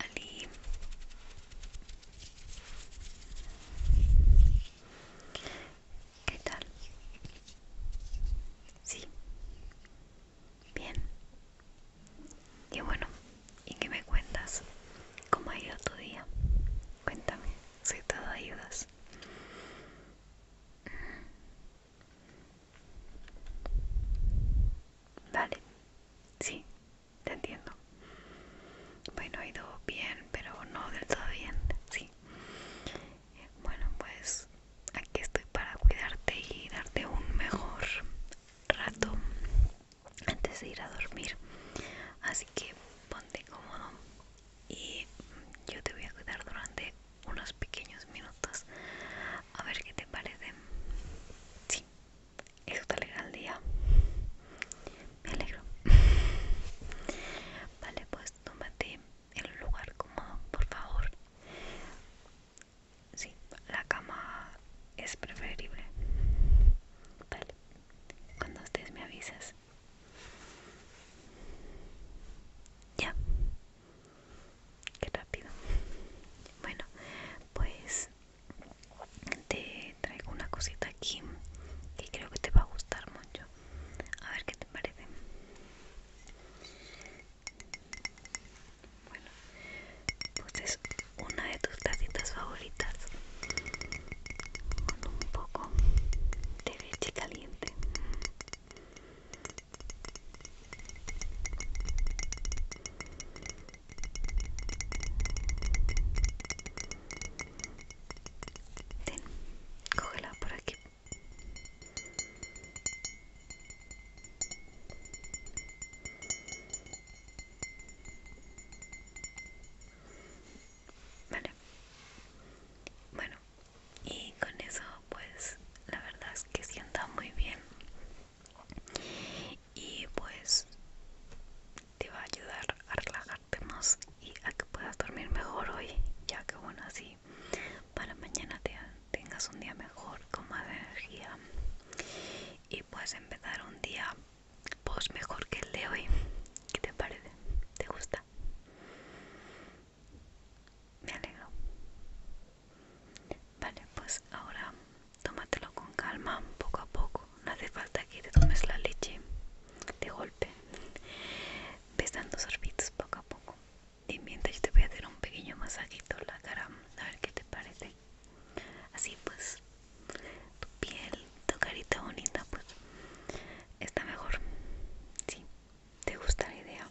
Ali. ¿Qué tal? Sí. Bien. Y bueno, ¿y qué me cuentas? ¿Cómo ha ido tu día? Cuéntame, si todo ayudas. Vale, sí, te entiendo. Bueno, ha ido bien, pero no del todo bien, sí. Bueno, pues aquí estoy para cuidarte y darte un mejor rato antes de ir a dormir. Así que ponte cómodo y yo te voy a cuidar durante unos pequeños minutos. A ver qué te parece. Sí, eso te alegra el día. Me alegro. Vale, pues tómate en un lugar cómodo, por favor. Sí, la cama es preferible. Vale, cuando estés me avisas. Ya, Qué rápido. Bueno, pues te traigo una cosita aquí que creo que te va a gustar mucho. A ver qué te parece. Bueno, pues es una de tus tacitas favoritas con un poco de leche caliente Ten, cógela por aquí. Vale. Bueno, y con eso pues la verdad es que sienta muy bien y pues te va a ayudar a relajarte más y a que puedas dormir mejor hoy ya que bueno así para mañana tengas un día mejor con más energía y pues empezar un día pues mejor que el de hoy ¿qué te parece? ¿te gusta? me alegro Vale, pues ahora tómatelo con calma, poco a poco. No hace falta que te tomes la leche de golpe. Ves dando sorbitos poco a poco. Y mientras yo te voy a hacer un pequeño masajito en la cara, a ver qué te parece. Así pues, tu piel, tu carita bonita, pues está mejor. Sí, ¿te gusta la idea?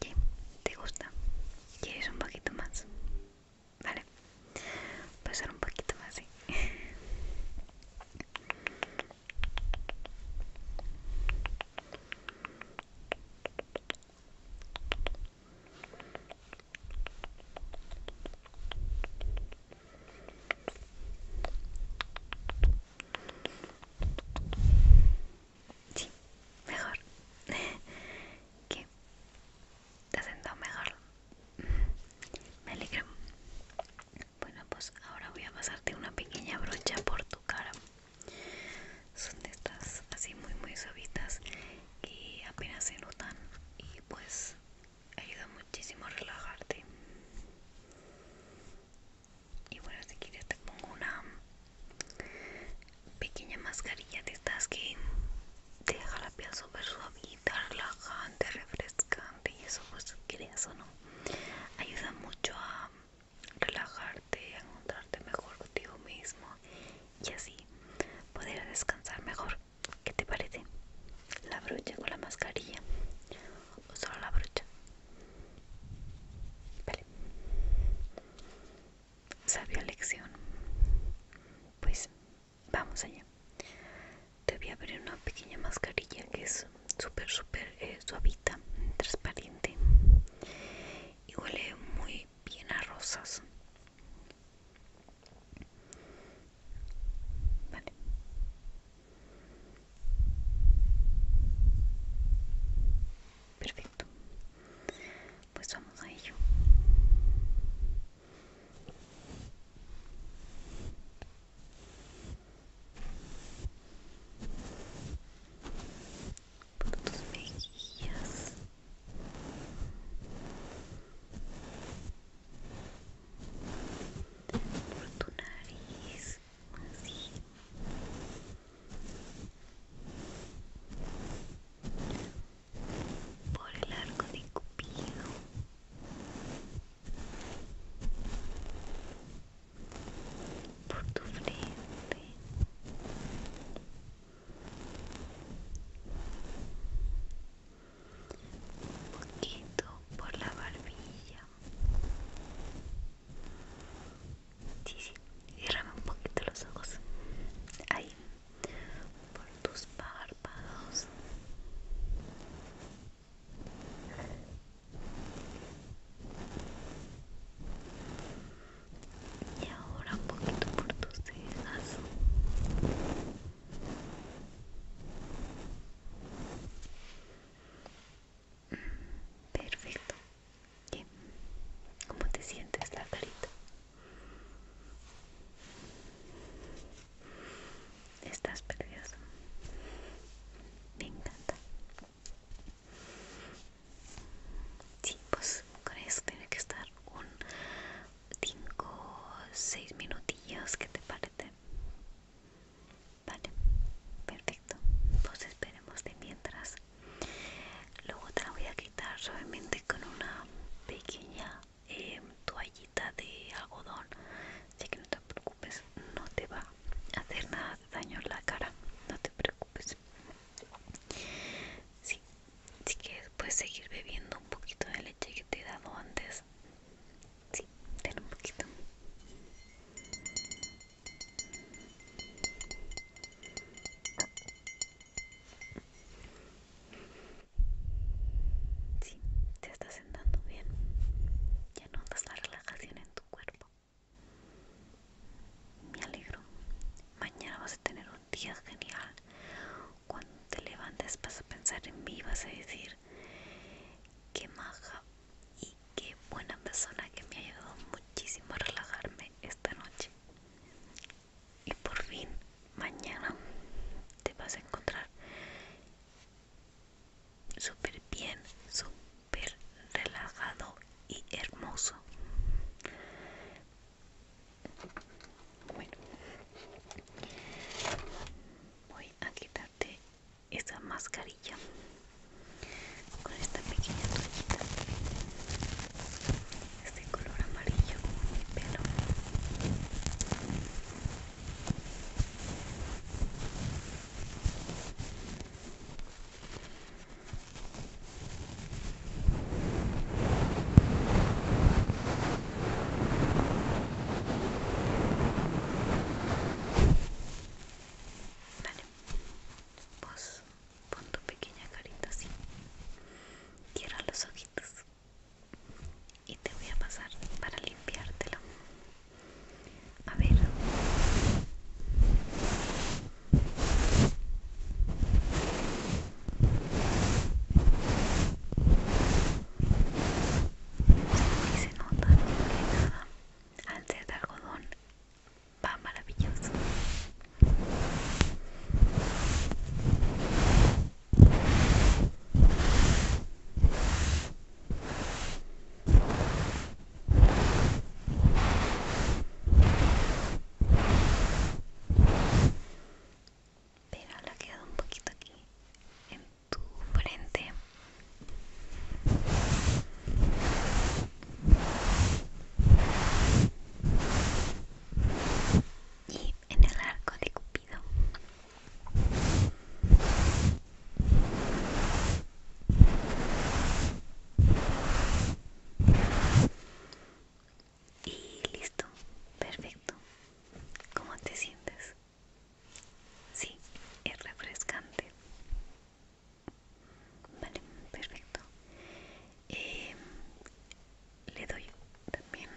¿Qué? ¿Te gusta? ¿Quieres un poquito más? Vale, pasar un poquito más, Sí, mejor. Que ¿Te has sentado mejor? Me alegra. Bueno, pues ahora voy a pasarte una pequeña brocha por tu cara. Son de estas así muy muy suavitas y apenas se notan y pues ayuda muchísimo a relajarte. Y bueno, si quieres te pongo una pequeña mascarilla de estas que deja la piel súper suavita, relajante, refrescante y eso pues quieres o no ayuda mucho a relajarte, a encontrarte mejor contigo mismo y así poder descansar mejor. ¿Qué te parece? ¿La brocha con la mascarilla o solo la brocha? Vale sabia lección. Pues vamos allá. Te voy a abrir una pequeña mascarilla que es súper, súper eh, suavita, transparente. Y huele muy bien a rosas. Vale perfecto pues vamos a ello por tus mejillas por tu nariz así por el arco de Cupido. Por tu frente, poquito por la barbilla, Sí, sí. un poquito los ojos. Ahí. Por tus párpados. Y ahora un poquito por tus cejas. Perfecto. Bien. ¿Cómo te sientes la carita? Estás perdido Me encanta. Sí, pues con eso tiene que estar un 5 6 minutillos, que te parece? Vale, perfecto. Pues esperemos de mientras luego te la voy a quitar suavemente con una pequeña eh, toallita de algodón así que no te preocupes no te va a hacer nada de daño en la cara no te preocupes sí, así que puedes seguir bebiendo un poquito de leche que te he dado antes sí ten un poquito Sí, te estás sentando bien. Ya notas la relajación en tu cuerpo. Me alegro. Mañana vas a tener un día genial. Cuando te levantes vas a pensar en mí, vas a decir, qué maja qué buena persona que me ha ayudado muchísimo a relajarme esta noche. Y por fin, mañana te vas a encontrar súper bien, súper relajado y hermoso. Bueno, voy a quitarte esa mascarilla con esta pequeña toallita este color amarillo como mi pelo Vale, pues, Pon tu pequeña carita así. Cierra los ojitos. Y te voy a pasar para limpiártelo. A ver. Y se nota que nada al ser de algodón va maravilloso. Pero la ha quedado un poquito aquí en tu frente y en el arco de Cupido. Y listo, perfecto. ¿Cómo te sientes? Sí, es refrescante. Vale, perfecto. Eh, le doy también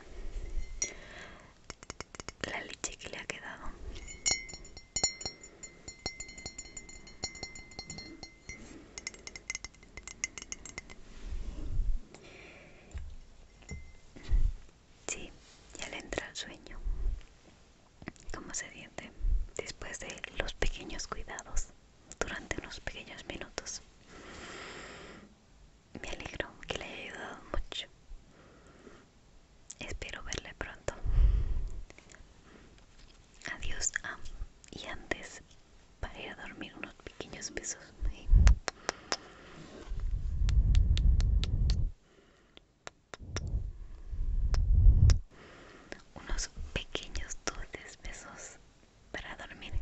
la leche que le ha quedado. Sí, ya le entra el sueño como se diente después de los pequeños cuidados durante unos pequeños minutos. Me alegro que le haya ayudado mucho. Espero verle pronto. Adiós. y antes, para ir a dormir, unos pequeños besos unos pequeños dulces besos para dormir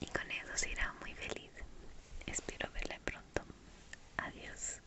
y con eso será muy feliz espero verla pronto adiós